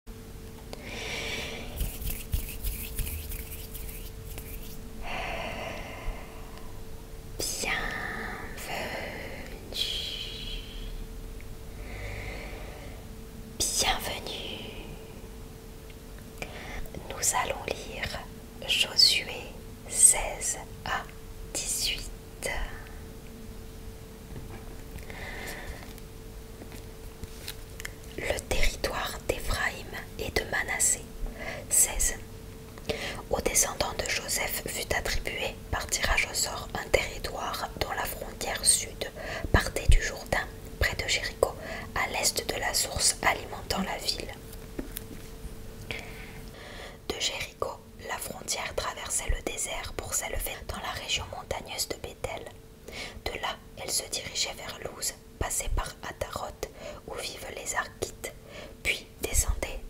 Bienvenue, bienvenue. Nous allons lire Josué 16 à 18. Le territoire d'Éphraïm et de Manassé. 16. Aux descendants de Joseph fut attribué par tirage au sort un territoire dont la frontière sud partait du Jourdain, près de Jéricho, à l'est de la source alimentant la ville. De Jéricho, la frontière traversait le désert pour s'élever dans la région montagneuse de Bethel. De là, elle se dirigeait vers Louz, passait par Ataroth, où vivent les Arkites, puis descendait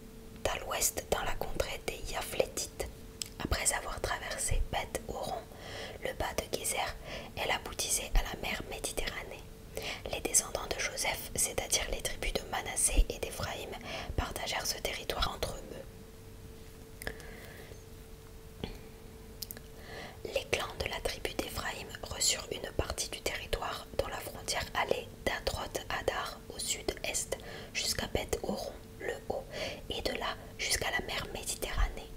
à l'ouest dans la contrée des Yaflétites. Après avoir traversé Beth oron le bas de Gezer, elle aboutissait à la mer Méditerranée. Les descendants de Joseph, c'est-à-dire les tribus de Manassé et d'Éphraïm, partagèrent ce territoire entre eux. Les clans de la tribu d'Éphraïm reçurent une partie du territoire dont la frontière allait d'Adroth Hadar au sud-est jusqu'à Beth Horon le haut et de là jusqu'à la mer Méditerranée.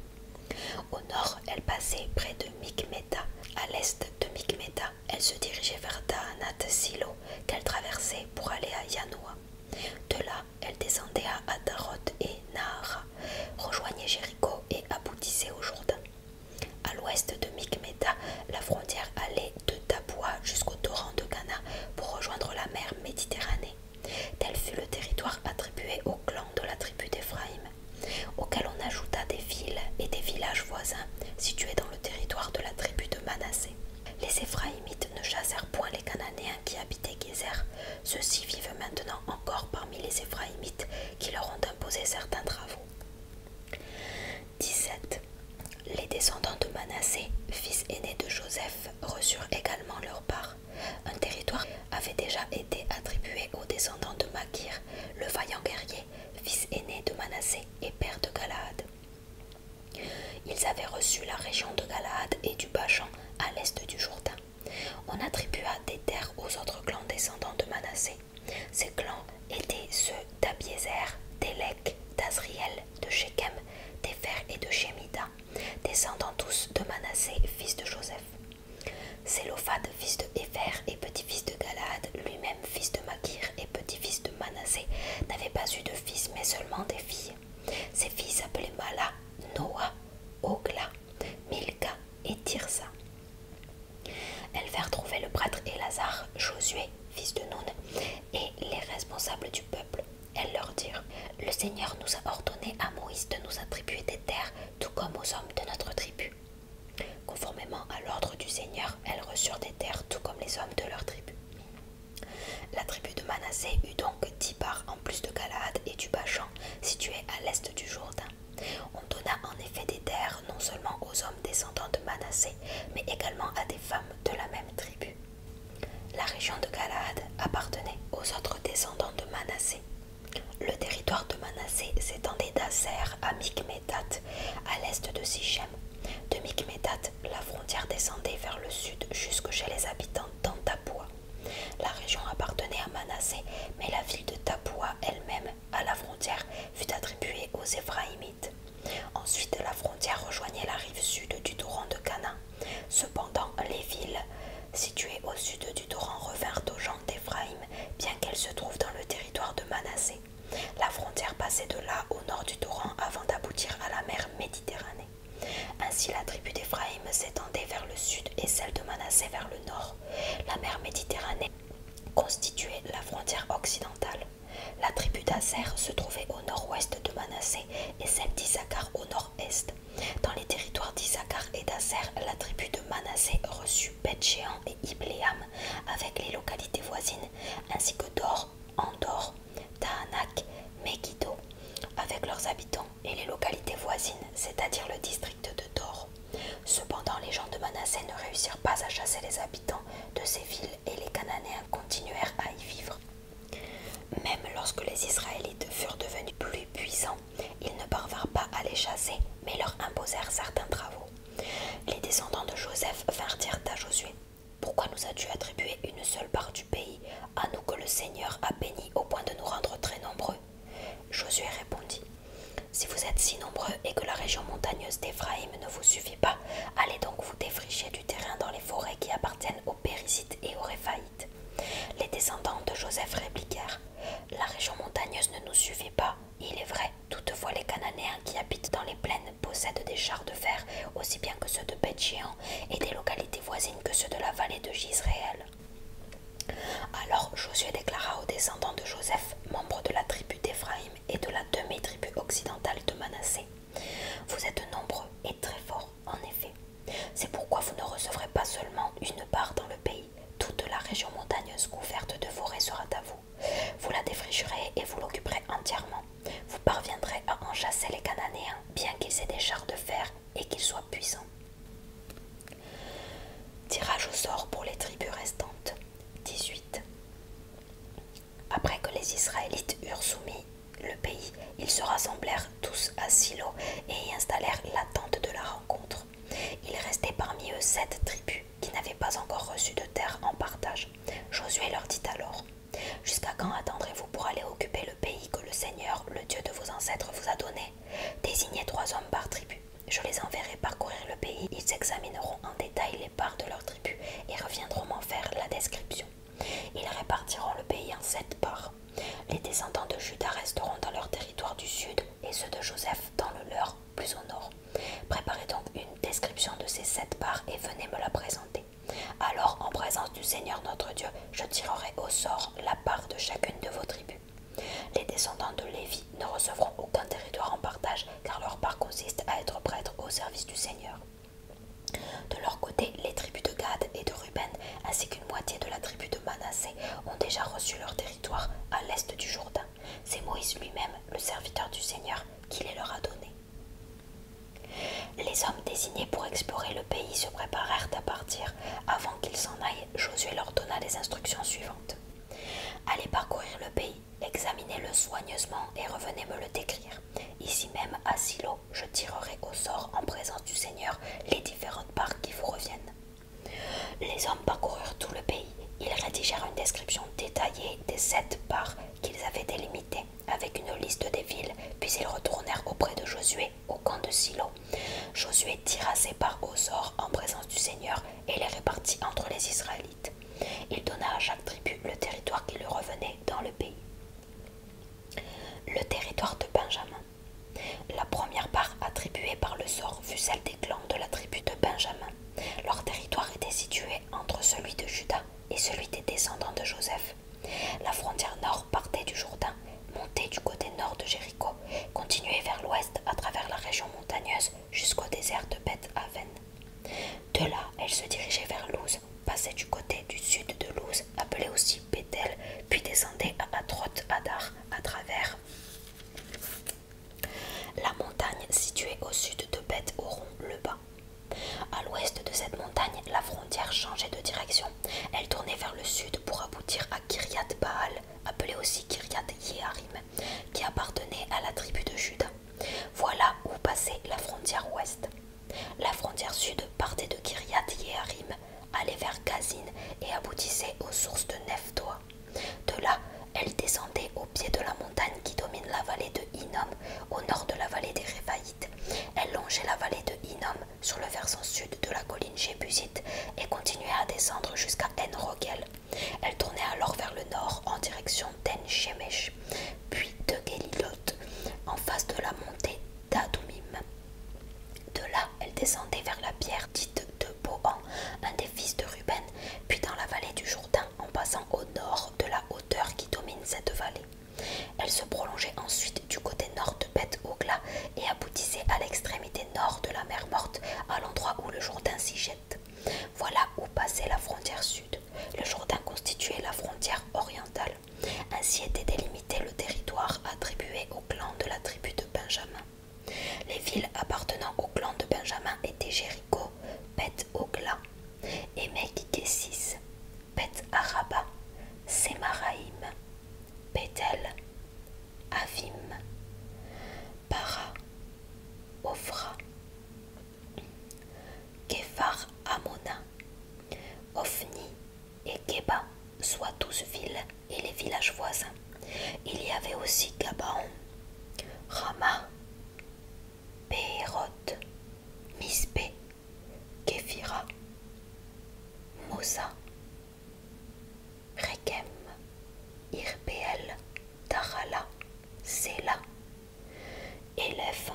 Au nord, elle passait près de Mikmeta. À l'est de Mikmeta, elle se dirigeait vers Taanat Silo qu'elle traversait pour aller à Yanoa. De là, elle descendait à Adaroth et Nahara, rejoignait Jéricho et aboutissait au Jourdain. À l'ouest de Mikmeta, la frontière allait de Taboua jusqu'au torrent de Cana pour rejoindre la mer Méditerranée. Tel fut le territoire attribué au clan de la tribu d'Éphraïm, auquel on ajouta des villes et des villages voisins situés dans le territoire de la tribu de Manassé. Les Éphraïmites ne chassèrent point les Cananéens qui habitaient Gézer, ceux-ci vivent maintenant encore parmi les Éphraïmites qui leur ont imposé certains travaux. 17. Les descendants de Manassé, fils aîné de Joseph, reçurent également leur part. Un territoire avait déjà été attribué aux descendants de Makir, le vaillant guerrier, fils aîné de Manassé et père de Galaad. Ils avaient reçu la région de Galaad et du Bachan à l'est du Jourdain. On attribua des terres aux autres clans descendants de Manassé. Ces clans étaient ceux d'Abiézer, d'Elec, d'Azriel, de Shechem, d'Éphère et de Shemida, descendants tous de Manassé, fils de Joseph. Sélophade, fils de et petit-fils de Galaad, lui-même fils de Makir et petit-fils de Manassé, n'avait pas eu de fils mais seulement des filles. Ces filles s'appelaient Mala, Noah, Ogla, Milka et Tirsa. Elles virent trouver le prêtre Élazar Josué, fils de Noun, et les responsables du peuple. Elles leur dirent Le Seigneur nous a ordonné à Moïse de nous attribuer des terres, tout comme aux hommes de notre tribu. Conformément à l'ordre du Seigneur, elles reçurent des terres, tout comme les hommes de leur tribu. La tribu de Manassé eut donc dix parts en plus de Galaad et du Bachan, situés à l'est du Jourdain. On donna en effet des terres non seulement aux hommes descendants de Manassé, mais également à des femmes de la même tribu. La région de Galaad appartenait aux autres descendants de Manassé. Le territoire de Manassé s'étendait d'Azer à Mikmetat, à l'est de Sichem. De Mikmetat, la frontière descendait vers le sud jusque chez les habitants d'Antapoua. La région appartenait à Manassé, mais la ville de Taboua elle-même, à la frontière, fut attribuée aux Éphraïmites. Ensuite, la frontière rejoignait la rive sud du torrent de Cana. Cependant, les villes situées au sud du torrent revinrent aux gens d'Éphraïm, bien qu'elles se trouvent dans le territoire de Manassé. La frontière passait de là au nord du torrent avant d'aboutir à la mer Méditerranée. Ainsi la tribu d'Éphraïm s'étendait vers le sud et celle de Manassé vers le nord. La mer Méditerranée constituait la frontière occidentale. La tribu d'Azer se trouvait au nord-ouest de Manassé et celle d'Issachar au nord-est. Dans les territoires d'Issachar et d'Azer, la tribu de Manassé reçut bethchéan et Ibléam avec les localités voisines, ainsi que Dor, Andor, Tahanak, Megiddo, avec leurs habitants et les localités voisines, c'est-à-dire le district de Dor. Cependant, les gens de Manassé ne réussirent pas à chasser les habitants de ces villes et les Cananéens continuèrent à y vivre. Même lorsque les Israélites furent devenus plus puissants, ils ne parvinrent pas à les chasser, mais leur imposèrent certains travaux. Les descendants de Joseph vinrent dire à Josué Pourquoi nous as-tu attribué une seule part du pays à nous que le Seigneur a béni au point de nous rendre très nombreux. Josué répondit Si vous êtes si nombreux et que la région montagneuse d'Éphraïm ne vous suffit pas, allez donc vous défricher du terrain dans les forêts qui appartiennent aux Périsites et aux Réphaïtes. Les descendants de Joseph répliquèrent La région montagneuse ne nous suffit pas, il est vrai. Toutefois, les Cananéens qui habitent dans les plaines possèdent des chars de fer aussi bien que ceux de bêtes géantes et des localités voisines que ceux de la vallée de Gisraël. Alors Josué déclara aux descendants de Joseph, membres de la tribu d'Éphraïm et de la demi-tribu occidentale de Manassé Vous êtes nombreux et très forts, en effet. C'est pourquoi vous ne recevrez pas seulement une part dans le pays, toute la région montagneuse couverte de forêts sera à vous. Vous la défricherez et vous l'occuperez entièrement. Vous parviendrez à enchasser les Cananéens, bien qu'ils aient des chars de fer et qu'il soit puissant. Tirage au sort pour les tribus restantes. 18. Après que les Israélites eurent soumis le pays, ils se rassemblèrent tous à Silo et y installèrent l'attente de la rencontre. Il restait parmi eux sept tribus qui n'avaient pas encore reçu de terre en partage. Josué leur dit alors Jusqu'à quand attendrez-vous pour aller occuper le pays que le Seigneur, le Dieu de vos ancêtres, vous a donné Désignez trois hommes par tribu. Je les enverrai parcourir le pays. Ils examineront en détail les parts de leur tribu et reviendront m'en faire la description. Ils répartiront le pays en sept parts. Les descendants de Judas resteront dans leur territoire du sud et ceux de Joseph dans le leur, plus au nord. Préparez donc une description de ces sept parts et venez me la présenter. Alors, en présence du Seigneur notre Dieu, je tirerai au sort la part de chacune de vos tribus. Les descendants de Lévi ne recevront aucun territoire en partage, car leur part consiste à être prêtres au service du Seigneur. De leur côté, les tribus de Gad et de Ruben, ainsi qu'une moitié de la tribu de Manassé, ont déjà reçu leur territoire à l'est du Jourdain. C'est Moïse lui-même, le serviteur du Seigneur, qui les leur a donnés. Les hommes désignés pour explorer le pays se préparèrent à partir. Avant qu'ils s'en aillent, Josué leur donna les instructions suivantes. Allez parcourir le pays, examinez-le soigneusement et revenez me le décrire. Ici même, à Silo, je tirerai au sort, en présence du Seigneur, les différentes parts qui vous reviennent. Les hommes parcoururent tout le pays. Ils rédigèrent une description détaillée des sept parts qu'ils avaient délimitées avec une liste des villes, puis ils retournèrent auprès de Josué au camp de Silo. Josué tira ses parts au sort en présence du Seigneur et les répartit entre les Israélites. Il donna à chaque tribu le territoire qui lui revenait dans le pays. Le territoire de Benjamin. La première part attribuée par le sort fut celle des clans de la tribu de Benjamin. Leur territoire était situé entre celui de Judas et celui des descendants de Joseph. La frontière nord partait du Jourdain, montait du côté nord de Jéricho, continuait vers l'ouest à travers la région montagneuse jusqu'au désert de Beth Aven. De là, elle se dirigeait vers Luz, passait du côté du sud de Luz, appelée aussi Bethel, puis descendait à Atroth Adar à travers la montagne située au sud de Beth Horon le Bas. À l'ouest de cette montagne, la frontière changeait de direction elle tournait vers le sud pour aboutir à Kiryat Baal, appelé aussi Kiryat Yeharim, qui appartenait à la tribu de Juda. Voilà où passait la frontière ouest. La frontière sud partait de Kiryat Yeharim, allait vers Gazin et aboutissait aux sources de Neftoa. De là, elle descendait au pied de la montagne qui domine la vallée de Hinnom, au nord de la vallée des Révaïtes. Elle longeait la vallée de Hinnom sur le versant sud de la colline Jébusite et continuait à descendre jusqu'à Enrogel. Elle tournait alors vers le nord en direction d'En Shemesh, puis de Gelilot, en face de la montée d'Adoumim. De là, elle descendait vers la pierre dite de Bohan, un des fils de Ruben, puis dans la vallée du Jourdain en passant au nord de la hauteur qui domine cette vallée. Elle se prolongeait ensuite du côté nord de Beth Ogla et aboutissait à l'extrémité nord de la mer Morte, à l'endroit où le Jourdain s'y jette. Voilà où passait la frontière sud. Le Jourdain constituait la frontière orientale. Ainsi était délimité le territoire attribué au clan de la tribu de Benjamin. Les villes appartenant au clan de Benjamin étaient Jéricho, Beth Ogla et Mekikessis. Pet Araba, Semaraïm, Petel Avim, Para, Ofra, Kephar Amona, Ofni et Keba soit douze villes et les villages voisins. Il y avait aussi Gabaon, Rama, Péhéroth, misbé, Képhira, Mosa, Rekem, Irbeel, Tarala, Sela, Élève,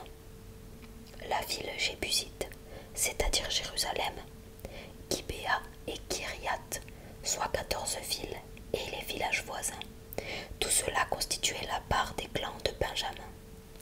la ville jébusite, c'est-à-dire Jérusalem, Kibéa et Kiriath soit quatorze villes et les villages voisins. Tout cela constituait la part des clans de Benjamin.